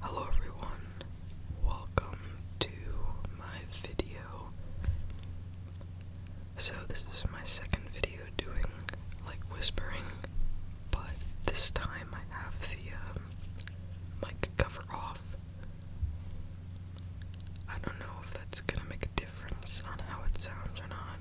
Hello everyone, welcome to my video. So this is my second video doing like whispering, but this time I have the um, mic cover off. I don't know if that's gonna make a difference on how it sounds or not,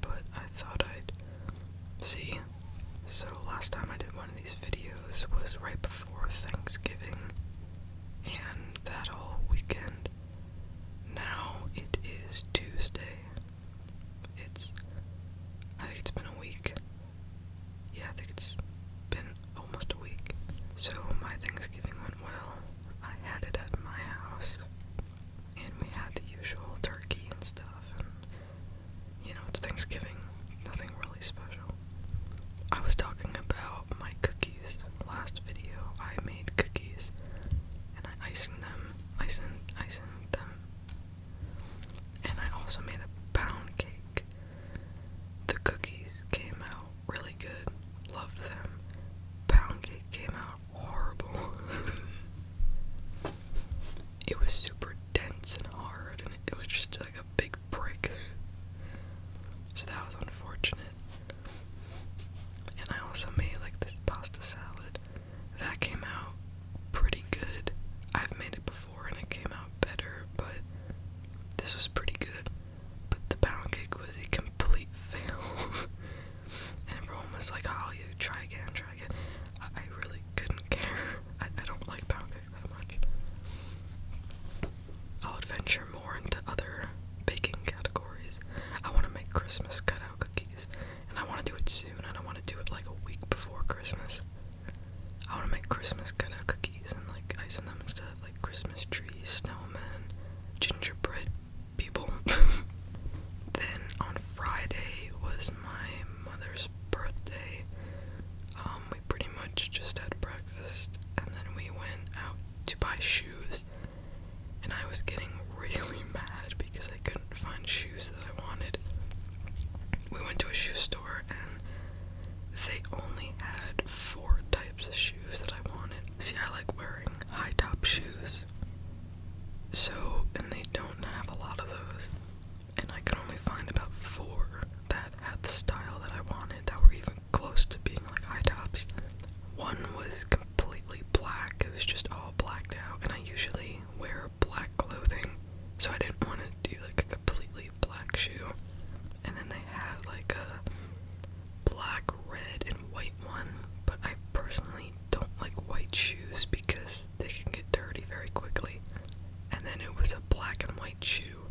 but I thought I'd see so, last time I did one of these videos was right before Thanksgiving and that whole weekend. Now it is Tuesday. It's. I think it's been a week. Yeah, I think it's been almost a week. So, my Thanksgiving went well. I had it at my house. And we had the usual turkey and stuff, you know, it's Thanksgiving, nothing really special. I was talking about my cookies last video. I made cookies and I iced them, icing, icing them. And I also made a pound cake. The cookies came out really good, loved them. Pound cake came out horrible. it was super dense and hard, and it was just like a big brick. so that was unfortunate. And I also made like this pasta salad that came out pretty good. I've made it before and it came out better, but this was pretty good. But the pound cake was a complete fail. and everyone was like, Holly, oh, try again, try I really couldn't care. I, don't like pound cake that much. I'll adventure more into other baking categories. I want to make Christmas cutout cookies, and I want to do it soon. I want to do it like a week before Christmas. I want to make Christmas cutout cookies and like icing them instead of like Christmas trees, snowmen, gingerbread people. then on Friday was my mother's birthday, um, we pretty much just had breakfast and then we went out to buy shoes. And I was getting really mad because I couldn't find shoes that I wanted. We went to a shoe store and they only had four types of shoes that I wanted. See, I like wearing high top shoes. So, and they don't have a lot of those and I could only find about four that had the style that I wanted that were even close to being like high tops. One was completely black, it was just all blacked out, and I usually wear black clothing, so I didn't want to do like a completely black shoe. And then they had like a black, red, and white one, but I personally don't like white shoes because they can get dirty very quickly. And then it was a black and white shoe,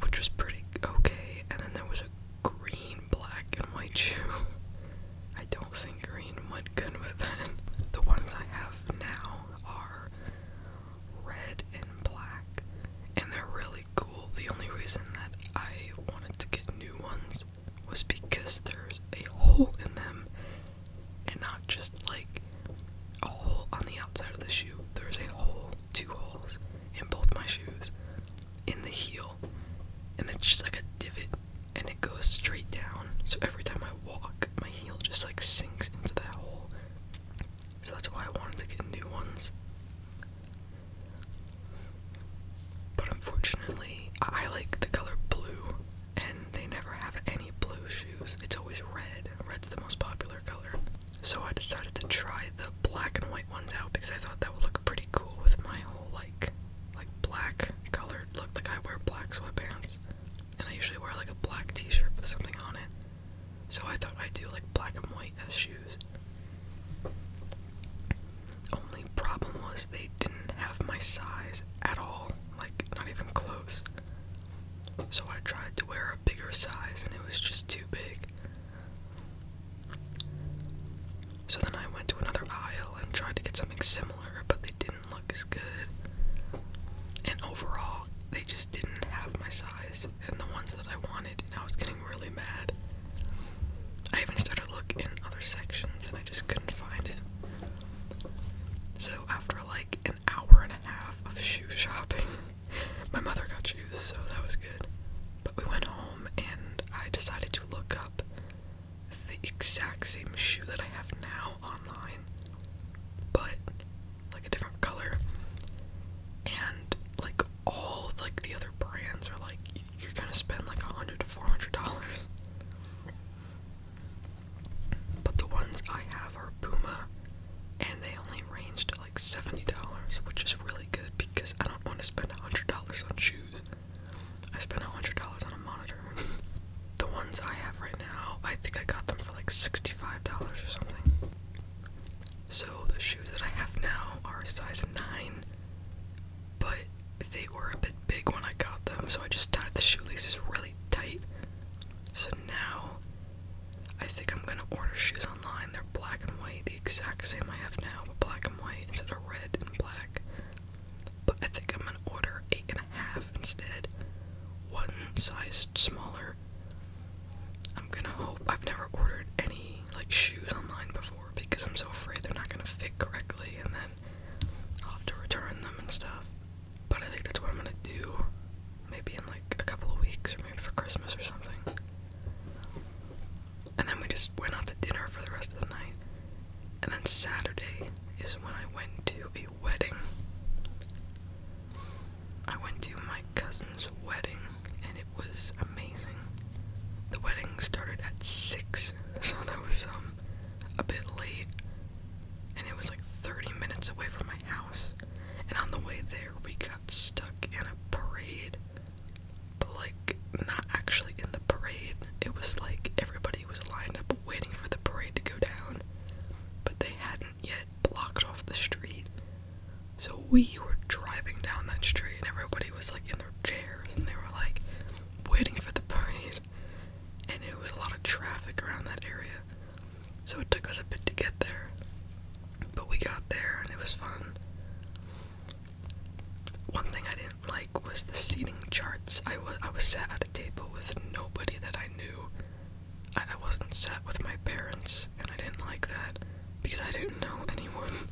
which was pretty okay. And then there was a green, black, and white shoe. I don't think green went good with that. The ones I have now are red and black, and they're really cool. The only reason that I wanted to get new ones was because there's a hole in them and not just like a hole on the outside of the shoe. There is a hole, two holes in both my shoes, in the heel, and it's just like a divot, and it goes straight down. So every time I walk, my heel just like sinks into that hole. So that's why I wanted to get new ones. But unfortunately, I, like the color blue and they never have any blue shoes. It's always red. Red's the most popular color. So I decided to try the black and white ones out because I thought that would look pretty cool with my whole like like black colored look. Like I wear black sweatpants and I usually wear like a black t-shirt with something on it. So I thought I'd do like black and white as shoes. Only problem was they didn't have my size at all. Like, not even close. So I tried to wear a bigger size and it was just too big. So then I went to another aisle and tried to get something similar, but they didn't look as good. And overall, they just didn't have my size and the ones that I wanted, and I was getting really mad. I even started looking in other sections and I just couldn't find it. So after like an hour and a half of shoe shopping, my mother got shoes, so that was good. But we went home and I decided to look up the exact same shoe that I have now online, but like a different color. And like all like the other brands are like you're gonna spend like a hundred to four hundred dollars. But the ones I have are Puma, and they only ranged like $70, which is really good because I don't want to spend $100 on shoes. I spent $100 on a monitor. the ones I have right now, I think I got them for like $65 or something. So the shoes that I have now are size 9, but they were a bit big when I got them, so I just tied the shoelaces really tight. So now I think I'm gonna order shoes online. They're black and white, the exact same I have now, but black and white instead of red and black. But I think I'm gonna order eight and a half instead, one size smaller. I'm gonna hope I've never ordered any like shoes online before because I'm so afraid they're not gonna fit correctly and then I'll have to return them and stuff. But I think that's what I'm gonna do. Maybe in like a couple of weeks or maybe for Christmas or something. And then we just went out to dinner for the rest of the night. And then Saturday is when I went to a wedding. I went to my cousin's wedding and it was amazing. The wedding started at 6, so that was um a bit late, and it was like 30 minutes away from my house. And on the way there, we got stuck in a parade, but like not actually in the parade. It was like everybody was lined up waiting for the parade to go down, but they hadn't yet blocked off the street. So we were driving down that street, and everybody was like in their chairs, and they were like, waiting for the parade, and it was a lot of traffic around that area, so it took us a bit to get there. But we got there, and it was fun. One thing I didn't like was the seating charts. I was I was sat at a table with nobody that I knew. I, I wasn't sat with my parents, and I didn't like that because I didn't know anyone.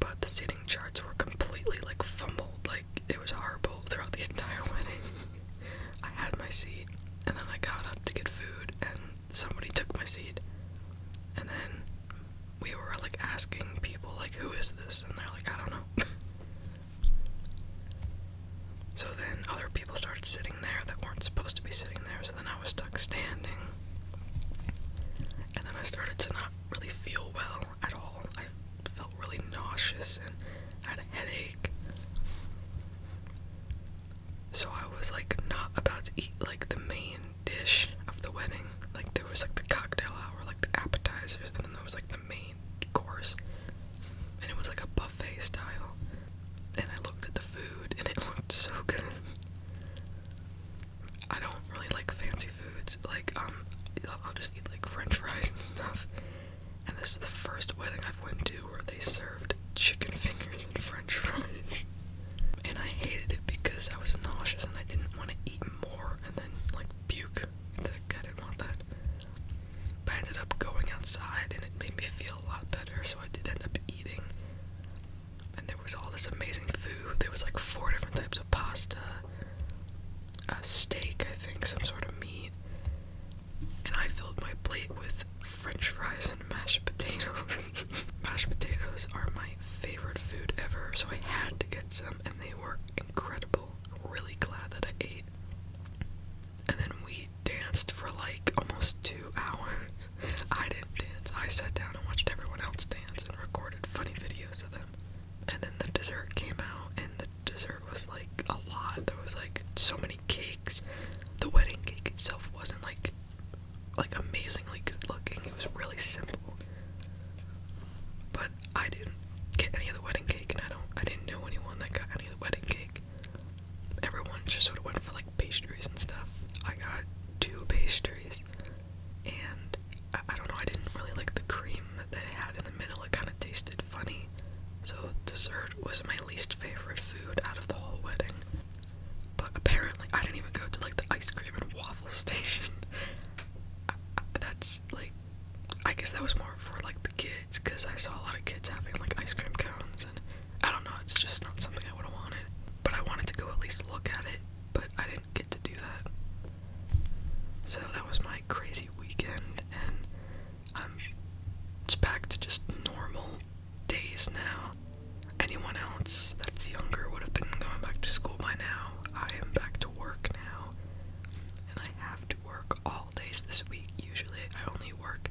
But the seating charts were completely like fumbled, like it was horrible throughout the entire wedding. I had my seat, and then I got up to get food, and somebody took my seat. And then we were like asking people, like, who is this? And they're like, I don't know. so then other people started sitting there that weren't supposed to be sitting there, so then I was stuck standing. And then I started to not really feel well at all. I felt really nauseous and had a headache. So I was like not about to eat like the main dish of the wedding. Like there was like the cocktail hour, like the appetizers, and then there was like the main course. And it was like a buffet style. And I looked at the food and it looked so good. I don't really like fancy foods. Like, um, I'll just eat like French fries and stuff. And this is the first wedding I've went to where they served chicken fingers and French fries. and I hated it because I was nauseous and I didn't want to eat more and then like puke. I didn't want that. But I ended up going outside and it made me feel a lot better, so I did end up eating and there was all this amazing food. There was like four different types of pasta, a steak, I think, some sort of meat, and I filled my plate with French fries and mashed potatoes. mashed potatoes are my favorite food ever, so I had to get some, and they were incredible. Really glad that I ate. And then we danced for like almost two hours. I didn't dance. I sat down and watched everyone else dance and recorded funny videos of them. And then the dessert came out, and the dessert was like a lot. There was like so many cakes. The wedding cake itself wasn't like like amazingly good looking. It was really simple. But I didn't get any of the wedding cake, and I don't. I didn't know anyone that got any of the wedding cake. Everyone just sort of went for like pastries and stuff. I got two pastries, and I, don't know, I didn't really like the cream that they had in the middle. It kind of tasted funny. So, dessert was my least favorite food out of the whole wedding. But apparently, I didn't even go to like the ice cream and waffle station. that's like, I guess that was more for like the kids because I saw a lot of kids having like ice cream cones I don't know, it's just not something I would have wanted. But I wanted to go at least look at it, but I didn't get to do that. So that was my crazy weekend, and I'm back to just normal days now. Anyone else that's younger would have been going back to school by now. I am back to work now, and I have to work all days this week. Usually, I only work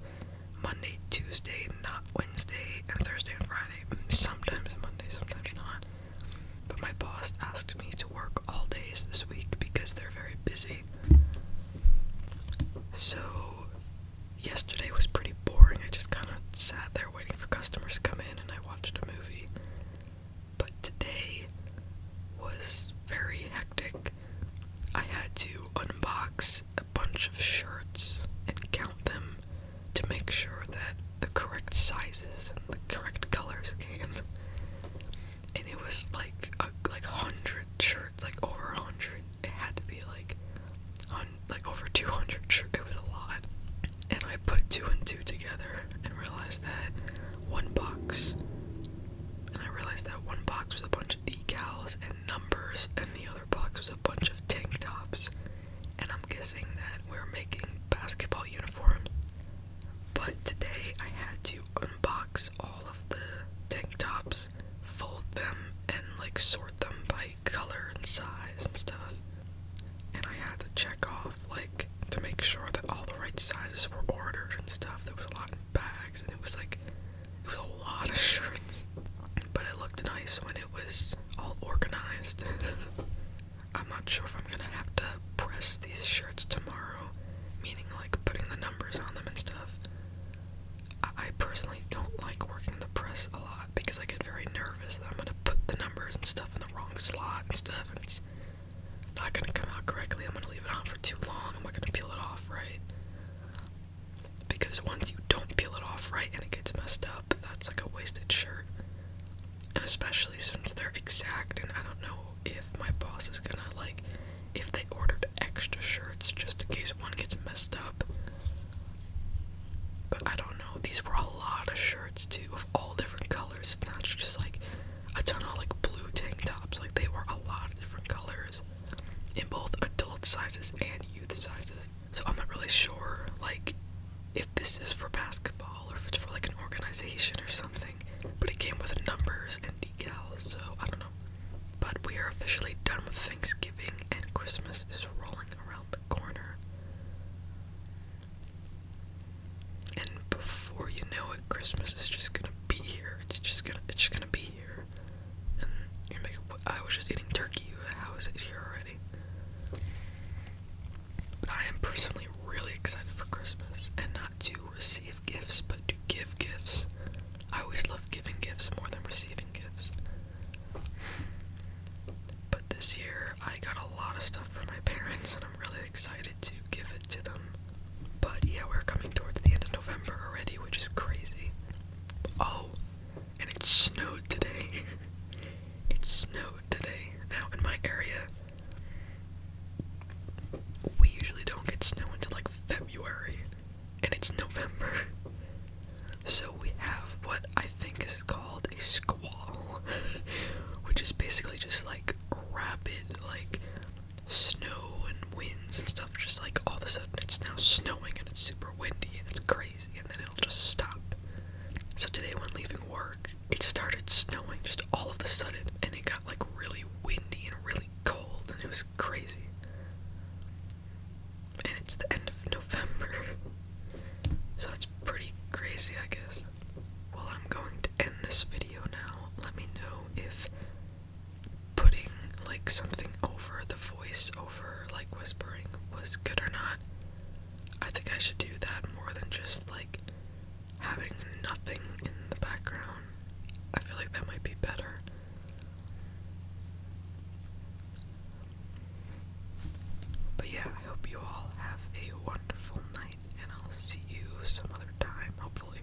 Monday, Tuesday, not Wednesday, and Thursday and Friday. Sometimes Monday, sometimes not. But my boss asked me to work all days this week because they're very busy. So, yesterday was pretty boring. I just kind of sat there waiting for customers to come in and I watched a movie. But today was very hectic. I had to unbox a bunch of shirts and count them to make sure that the correct sizes and the correct colors came. And it was like a, like hundred shirts, like over a hundred. It had to be like like over two hundred shirts. It was a lot. And I put two and two together and realized that one box. And I realized that one box was a bunch of decals and numbers, and the other box was a a bunch of tank tops, and I'm guessing that we're making basketball uniforms. But today I had to unbox all of the tank tops, fold them, and like sort them by color and size and stuff. And I had to check off, like, to make sure that all the right sizes were ordered and stuff. There was a lot of bags, and it was like it was a lot of shirts, but it looked nice when it was all organized. I'm not sure if I'm gonna have to press these shirts tomorrow, meaning like putting the numbers on them and stuff. I, personally don't like working the press a lot because I get very nervous that I'm gonna put the numbers and stuff in the wrong slot and stuff, and it's not gonna come out correctly. I'm gonna leave it on for too long. I'm not gonna peel it off right because once you don't peel it off right and it gets messed up, that's like a wasted shirt. And especially since they're exact, and I don't know if my boss is gonna like if they ordered extra shirts just in case one gets messed up. But I don't know. These were a lot of shirts too, of all different colors. It's not just like a ton of like blue tank tops. Like they were a lot of different colors in both adult sizes and youth sizes. So I'm not really sure, like, if this is for basketball or if it's for like an organization or something. But it came with numbers and decals, so I don't know. But we are officially done with Thanksgiving and Christmas is rolling around the corner. And before you know it, Christmas is just gonna be here. It's just gonna it's just gonna be here. And you're making, I was just eating turkey. How is it here already? But I am personally really excited for Christmas, and not to receive gifts, but to give gifts. I always love giving gifts more than receiving gifts. But this year, I got a lot of stuff from my parents, and I'm really excited to give it to them. But yeah, we're coming towards the end of November already, which is crazy. Oh, and it snowed today. it snowed today. Now, in my area, we usually don't get snow until like February, and it's November. So we have what I think is called a squall, which is basically just like rapid, like snow and winds and stuff. Just like all of a sudden it's now snowing and it's super windy and it's crazy, and then it'll just stop. So today when leaving work, it started snowing just all of a sudden, and it got like really windy and really cold, and it was crazy. And it's the end of November, so that's pretty crazy, I guess. Well, I'm going to end this video now. Let me know if putting like something over the voice over like whispering was good or not. I think I should do that more than just like having nothing in the background. I feel like that might be better. But yeah, I hope you all have a wonderful night, and I'll see you some other time, hopefully.